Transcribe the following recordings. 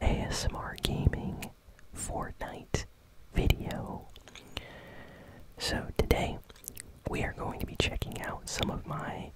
ASMR gaming Fortnite video. So today we are going to be checking out some of my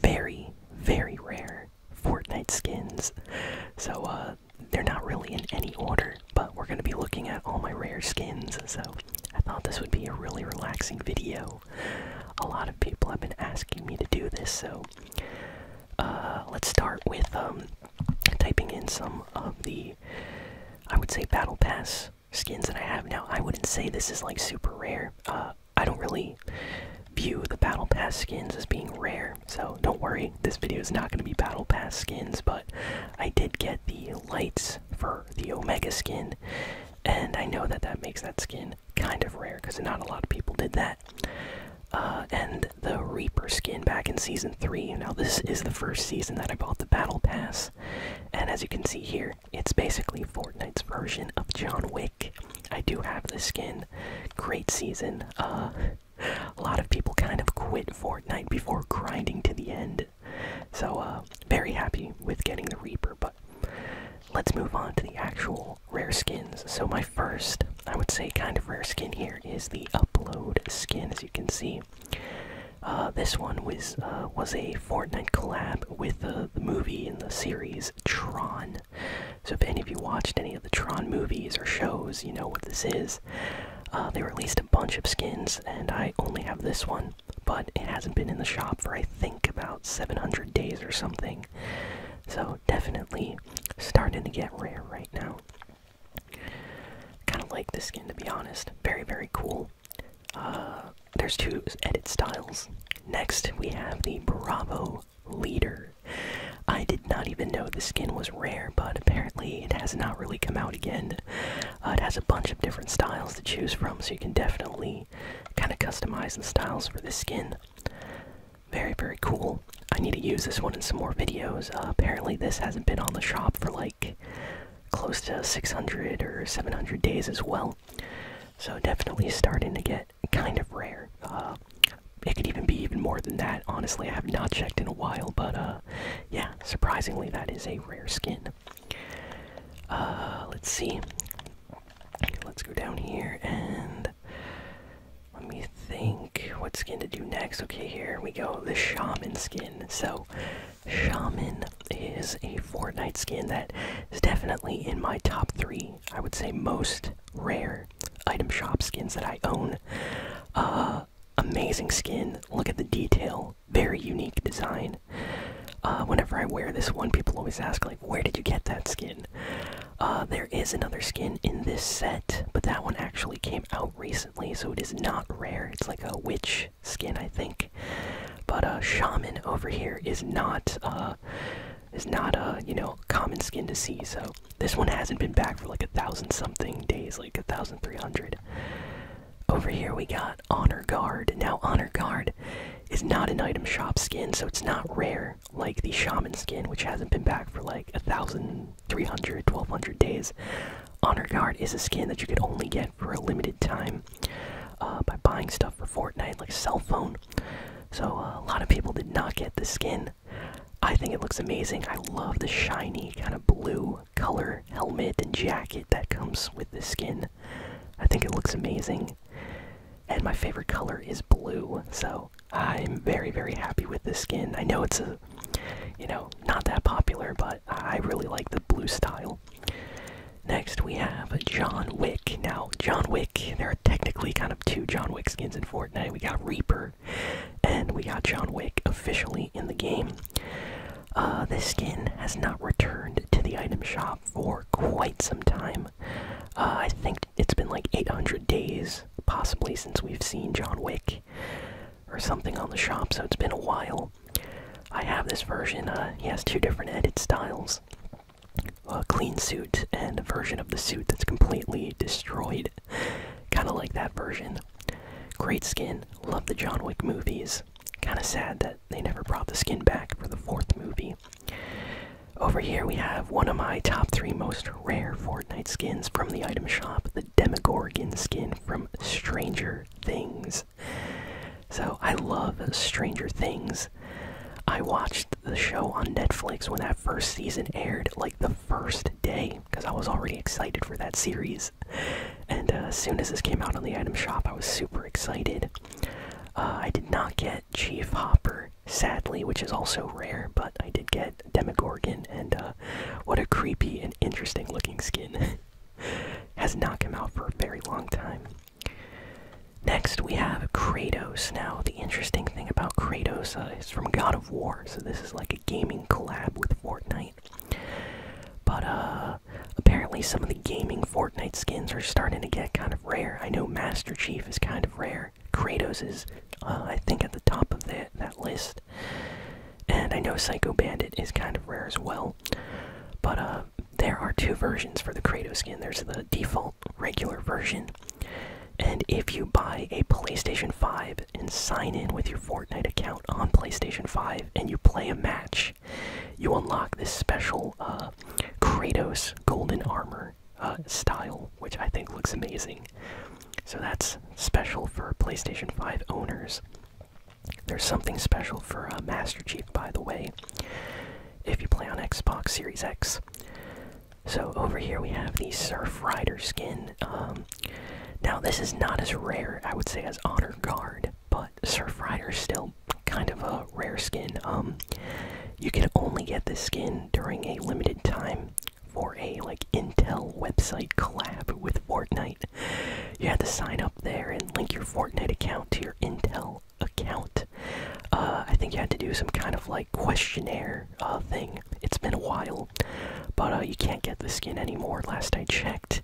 very, very rare Fortnite skins. So uh, they're not really in any order, but we're gonna be looking at all my rare skins, so I thought this would be a really relaxing video. A lot of people have been asking me to do this, so uh, let's start with um, typing in some of the, I would say, Battle Pass skins that I have now. I wouldn't say this is like super rare. Uh, I don't really view the Battle Pass skins as being rare, so don't worry. This video is not going to be Battle Pass skins, but I did get the lights for the Omega skin, and I know that that makes that skin kind of rare because not a lot of people did that. Uh, and the Reaper skin back in season 3. Now, this is the first season that I bought the Battle Pass, and as you can see here, it's basically Fortnite's version of John Wick. I do have the skin. Great season. Uh, a lot of people kind of quit Fortnite before grinding to the end. So, uh, very happy with getting the Reaper, but let's move on to the actual rare skins. So, my first, I would say, kind of rare skin here is the upload skin, as you can see. Uh, this one was uh, was a Fortnite collab with uh, the movie in the series Tron. So if any of you watched any of the Tron movies or shows, you know what this is. they released a bunch of skins, and I only have this one, but it hasn't been in the shop for I think about 700 days or something. So definitely starting to get rare right now. Kind of like the skin to be honest. Very, very cool. Uh, there's two edit styles. Next, we have the Bravo Leader. I did not even know the skin was rare, but apparently it has not really come out again. Uh, it has a bunch of different styles to choose from, so you can definitely kind of customize the styles for the skin. Very, very cool. I need to use this one in some more videos. Uh, apparently, this hasn't been on the shop for like close to 600 or 700 days as well. So, definitely starting to get kind of rare. Uh, it could even be even more than that. Honestly, I have not checked in a while, but uh, yeah, surprisingly, that is a rare skin. let's see. Let's go down here and let me think what skin to do next. Okay, here we go. The Shaman skin. So, Shaman is a Fortnite skin that is definitely in my top three, I would say, most rare item shop skins that I own. Uh, amazing skin. Look at the detail. Very unique design. Uh, whenever I wear this one, people always ask, like, where did you get that skin? Uh, there is another skin in this set, but that one actually came out recently, so it is not rare. It's like a witch skin, I think. But a uh, shaman over here is not uh, is not a uh, you know common skin to see. So this one hasn't been back for like a thousand something days, like a thousand three hundred. Over here we got honor guard. Now honor guard is not an item shop skin, so it's not rare like the shaman skin, which hasn't been back for like a thousand three hundred, twelve hundred days. Honor Guard is a skin that you could only get for a limited time uh, by buying stuff for Fortnite, like cell phone. So uh, a lot of people did not get the skin. I think it looks amazing. I love the shiny kind of blue color helmet and jacket that comes with the skin. I think it looks amazing and my favorite color is blue. So I'm very, very happy with this skin. I know it's a, you know, not that popular, but I really like the blue style. Next, we have John Wick. Now, John Wick, there are technically kind of two John Wick skins in Fortnite. We got Reaper, and we got John Wick officially in the game. Uh, this skin has not returned to the item shop for quite some time. Uh, I think it's been like 800 days, possibly, since we've seen John Wick or something on the shop, so it's been a while. I have this version, uh, he has two different edit styles a clean suit and a version of the suit that's completely destroyed. kind of like that version. Great skin, love the John Wick movies. Kind of sad that they never brought the skin back for the fourth movie. Over here we have one of my top three most rare Fortnite skins from the item shop, the Demogorgon skin from Stranger Things. So I love Stranger Things. I watched the show on Netflix when that first season aired, like the first day, because I was already excited for that series. And uh, as soon as this came out on the item shop, I was super excited. Uh, I did not get Chief Hopper, sadly, which is also rare, but I did get Demogorgon, and uh, what a creepy and interesting looking skin. Has not come out for a very long time. Next, we have Kratos. Now, the interesting thing about Kratos uh, is from God of War, so this is like a gaming collab with Fortnite. But uh, apparently, some of the gaming Fortnite skins are starting to get kind of rare. I know Master Chief is kind of rare. Kratos is, uh, I think, at the top of that that list. And I know Psycho Bandit is kind of rare as well. But uh, there are two versions for the Kratos skin. There's the default regular version. And if you buy a PlayStation 5 and sign in with your Fortnite account on PlayStation 5 and you play a match, you unlock this special uh, Kratos golden armor uh, style, which I think looks amazing. So that's special for PlayStation 5 owners. There's something special for uh, Master Chief, by the way, if you play on Xbox Series X. So over here we have the Surf Rider skin. Um, now this is not as rare, I would say, as Honor Guard, but Surf Rider still kind of a rare skin. Um, you can only get this skin during a limited time for a like Intel website collab with Fortnite. You have to sign up there and link your Fortnite account to your Intel account. Uh, I think you had to do some kind of like questionnaire uh, thing. It's been a while, but uh, you can't get the skin anymore. Last I checked,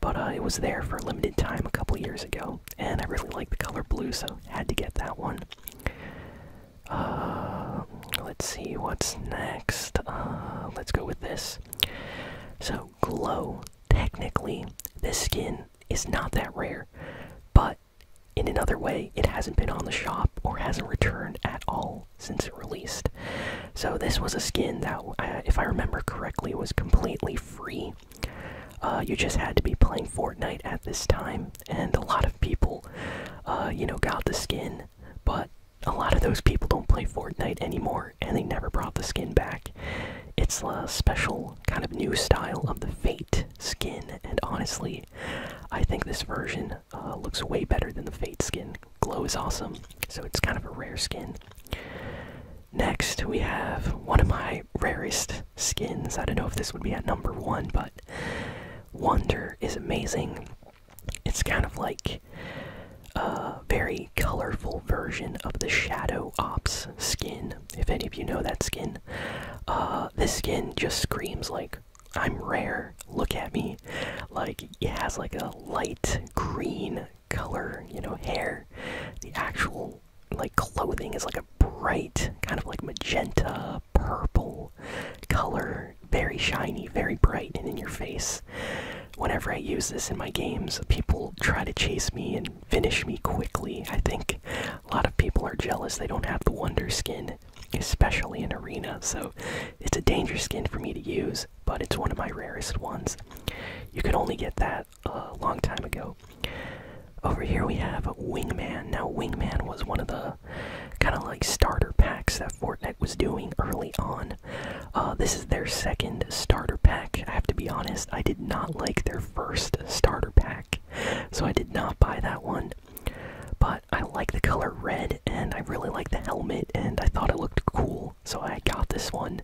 but it was there for a limited time a couple years ago and I really like the color blue, so had to get that one. Uh, let's see what's next. Uh, let's go with this. So, glow. Technically, this skin is not that rare, but in another way, it hasn't been on the shop or hasn't returned at all since it released. So, this was a skin that, uh, if I remember correctly, was completely free uh, you just had to be playing Fortnite at this time, and a lot of people, uh, you know, got the skin, but a lot of those people don't play Fortnite anymore, and they never brought the skin back. It's a special kind of new style of the Fate skin, and honestly, I think this version uh, looks way better than the Fate skin. Glow is awesome, so it's kind of a rare skin. Next, we have one of my rarest skins. I don't know if this would be at number one, but Wonder is amazing. It's kind of like a very colorful version of the Shadow Ops skin, if any of you know that skin. Uh, this skin just screams like, I'm rare, look at me. Like, it has like a light green color, you know, hair. The actual like clothing is like a bright, kind of like magenta, purple color, very shiny, very bright, and in your face. Whenever I use this in my games, people try to chase me and finish me quickly. I think a lot of people are jealous they don't have the Wonder Skin, especially in Arena, so it's a danger skin for me to use, but it's one of my rarest ones. You can only get that a long time ago. Over here we have Wingman. Now, Wingman was one of the kind of like starter packs that Fortnite was doing early on. Uh, this is their second starter pack. I have to be honest, I did not like their first starter pack, so I did not buy that one. But I like the color red, and I really like the helmet, and I thought it looked cool so I got this one.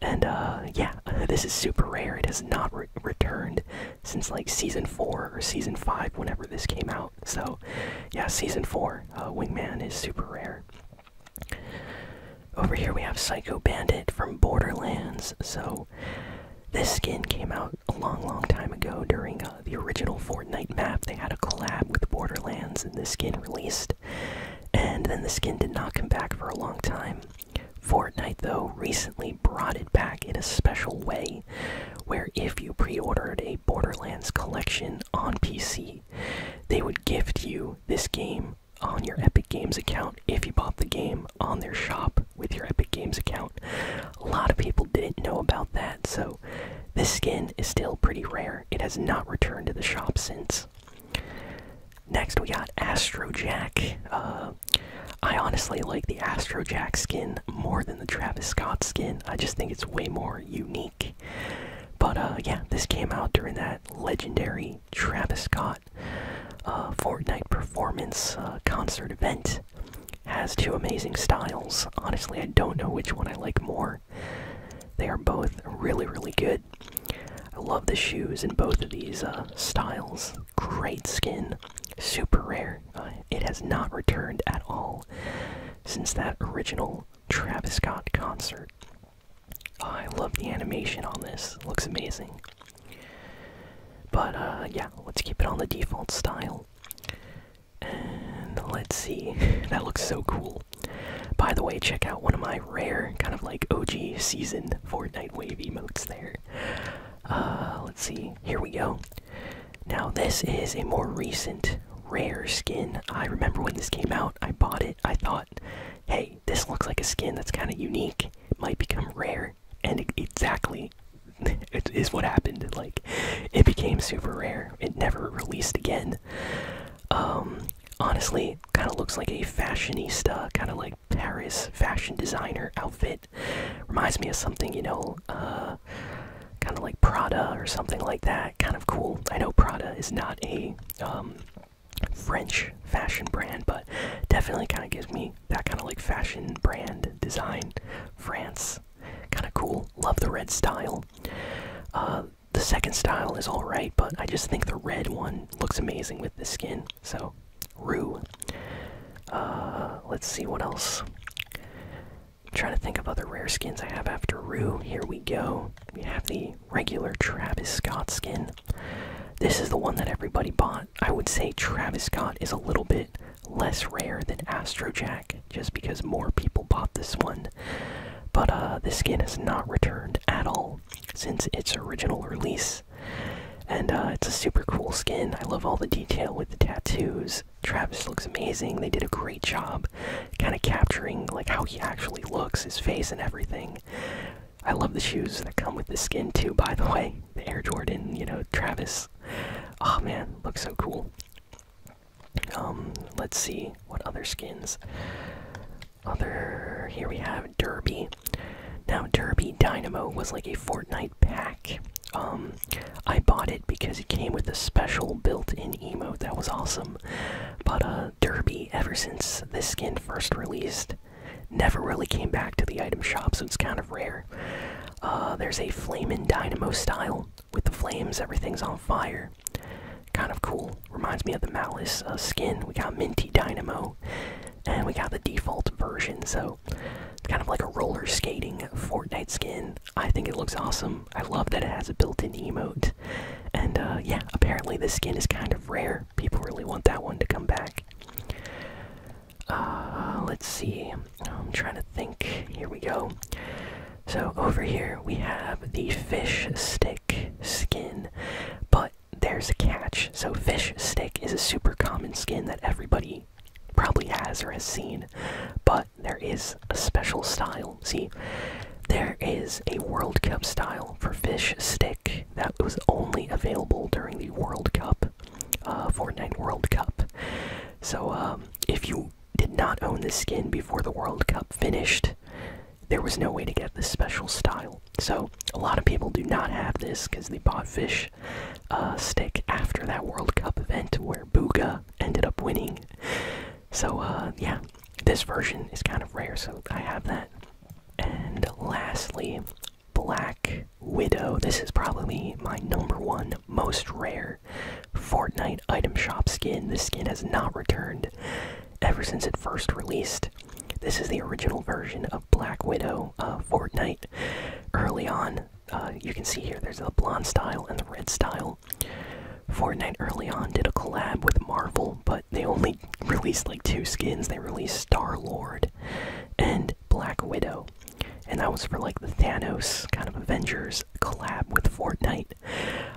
And uh, yeah, this is super rare. It has not returned since like season 4 or season 5 whenever this came out. So yeah, season 4 uh, Wingman is super rare. Over here we have Psycho Bandit from Borderlands. So this skin came out a long, long time ago during uh, the original Fortnite map. They had a collab with Borderlands, and this skin released and then the skin did not come back for a long time. Fortnite, though, recently brought it back in a special way where if you pre ordered a Borderlands collection on PC, they would gift you this game on your Epic Games account if you bought the game on their shop with your Epic Games account. A lot of people didn't know about that, so this skin is still pretty rare. It has not returned to the shop since. Next, we got Astro Jack. Uh, I honestly like the Astro Jack skin more than the Travis Scott skin. I just think it's way more unique. But uh, yeah, this came out during that legendary Travis Scott uh, Fortnite performance concert event. Has two amazing styles. Honestly, I don't know which one I like more. They are both really, really good. I love the shoes in both of these uh, styles. Great skin, super rare. Uh, it has not returned at all since that original Travis Scott concert. I love the animation on this. looks amazing. But uh, yeah, let's keep it on the default style. And let's see. that looks so cool. By the way, check out one of my rare, kind of like OG season Fortnite wavy emotes there. Uh, let's see. Here we go. Now, this is a more recent rare skin. I remember when this came out, I bought it. I thought, hey, this looks like a skin that's kind of unique, it might become rare. And exactly, it is what happened. Like, it became super rare. It never released again. Um, honestly kind of looks like a fashionista, kind of like Paris fashion designer outfit. Reminds me of something, you know, uh, kind of like Prada or something like that. Kind of cool. I know Prada is not a um, French fashion brand, but definitely kind of gives me that kind of like fashion brand design. France. Kind of cool. Love the red style. Uh, the second style is alright, but I just think the red one looks amazing with the skin. So, Rue. Uh, let's see what else. I'm trying to think of other rare skins I have after Rue. Here we go. We have the regular Travis Scott skin. This is the one that everybody bought. I would say Travis Scott is a little bit less rare than Astro Jack, just because more people bought this one but uh, the skin has not returned at all since its original release. And uh, it's a super cool skin. I love all the detail with the tattoos. Travis looks amazing. They did a great job kind of capturing like how he actually looks, his face and everything. I love the shoes that come with the skin too, by the way. The Air Jordan, you know, Travis. Oh man, looks so cool. Um, let's see what other skins. Other here we have Derby. Now Derby Dynamo was like a Fortnite pack. Um, I bought it because it came with a special built-in emote that was awesome. But uh, Derby, ever since this skin first released, never really came back to the item shop, so it's kind of rare. Uh, there's a flaming Dynamo style with the flames, everything's on fire. Kind of cool. Reminds me of the Malice uh, skin. We got Minty Dynamo, and we got the default version. So kind of like a roller skating Fortnite skin. I think it looks awesome. I love that it has a built-in emote. And uh, yeah, apparently this skin is kind of rare. People really want that one to come back. Uh, let's see. I'm trying to think. Here we go. So over here we have the fish stick skin, but there's a catch. So fish stick is a super common skin that everybody probably has or has seen, but there is a special style. See, there is a World Cup style for fish stick that was only available during the World Cup, uh, Fortnite World Cup. So um, if you did not own this skin before the World Cup finished, there was no way to get this special style. So a lot of people do not have this because they bought fish uh, stick after that World Cup event where Booga ended up winning. So uh, yeah, this version is kind of rare, so I have that. And lastly, Black Widow. This is probably my number one most rare Fortnite item shop skin. This skin has not returned ever since it first released. This is the original version of Black Widow of uh, Fortnite. Early on, uh, you can see here there's the blonde style and the red style. Fortnite early on did a collab with Marvel, but they only released like two skins. They released Star Lord and Black Widow, and that was for like the Thanos kind of Avengers collab with Fortnite.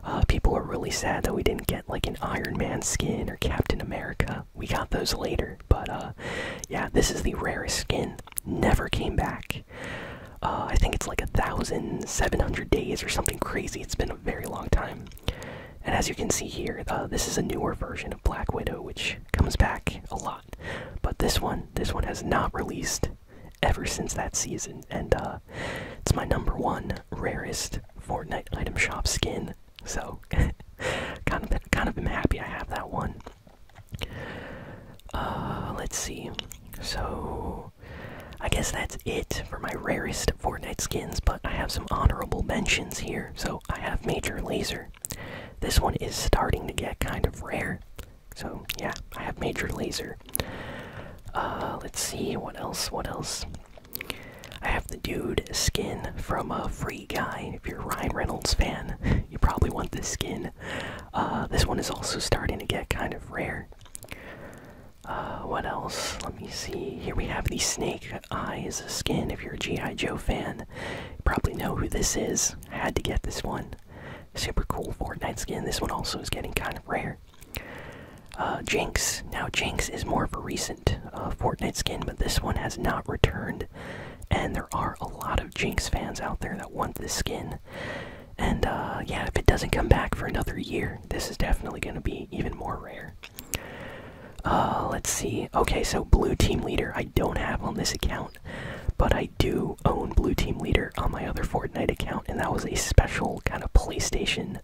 Uh, people are really sad that we didn't get like an Iron Man skin or Captain America. We got those later, but uh, yeah, this is the rarest skin. Never came back. Uh, I think it's like a thousand seven hundred days or something crazy. It's been a very long time. And as you can see here, this is a newer version of Black Widow, which comes back a lot. But this one, this one has not released ever since that season, and uh, it's my number one rarest Fortnite item shop skin. So, kind of, kind of happy I have that one. Uh, let's see. So, I guess that's it for my rarest Fortnite skins. But I have some honorable mentions here. So I have Major Laser. This one is starting to get kind of rare. So yeah, I have Major Laser. Uh, let's see what else. What else? I have the dude skin from a Free Guy. If you're a Ryan Reynolds fan, you probably want this skin. Uh, this one is also starting to get kind of rare. Uh, what else? Let me see. Here we have the Snake Eyes skin. If you're a G.I. Joe fan, probably know who this is. I had to get this one. Super cool Fortnite skin. This one also is getting kind of rare. Uh, Jinx. Now, Jinx is more of a recent uh, Fortnite skin, but this one has not returned. And there are a lot of Jinx fans out there that want this skin. And uh, yeah, if it doesn't come back for another year, this is definitely going to be even more rare. let's see. Okay, so blue team leader I don't have on this account but I do own Blue Team Leader on my other Fortnite account, and that was a special kind of PlayStation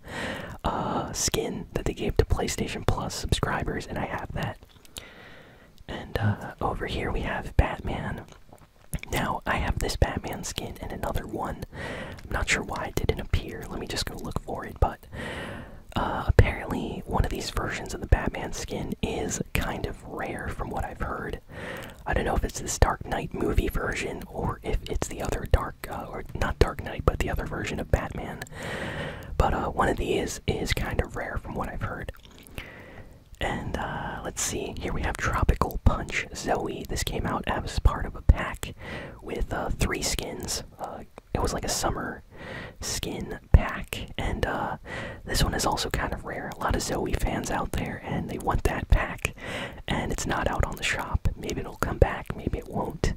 uh, skin that they gave to PlayStation Plus subscribers, and I have that. And uh, over here we have Batman. Now, I have this Batman skin and another one. I'm not sure why it didn't appear. Let me just go look for it, but uh, apparently, one of these versions of the Batman skin is kind of rare from what I've heard. I don't know if it's this Dark Knight movie version or if it's the other Dark, uh, or not Dark Knight, but the other version of Batman. But uh, one of these is kind of rare from what I've heard. And uh, let's see, here we have Tropical Punch Zoe. This came out as part of a pack with three skins. it was like a summer skin pack, and this one is also kind of rare. A lot of Zoe fans out there, and they want that pack, and it's not out on the shop. Maybe it'll come back, maybe it won't.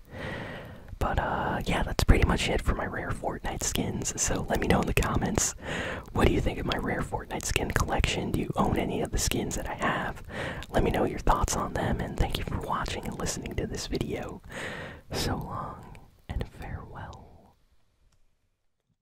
But uh, yeah, that's pretty much it for my rare Fortnite skins. So let me know in the comments what do you think of my rare Fortnite skin collection? Do you own any of the skins that I have? Let me know your thoughts on them, and thank you for watching and listening to this video. So long and farewell.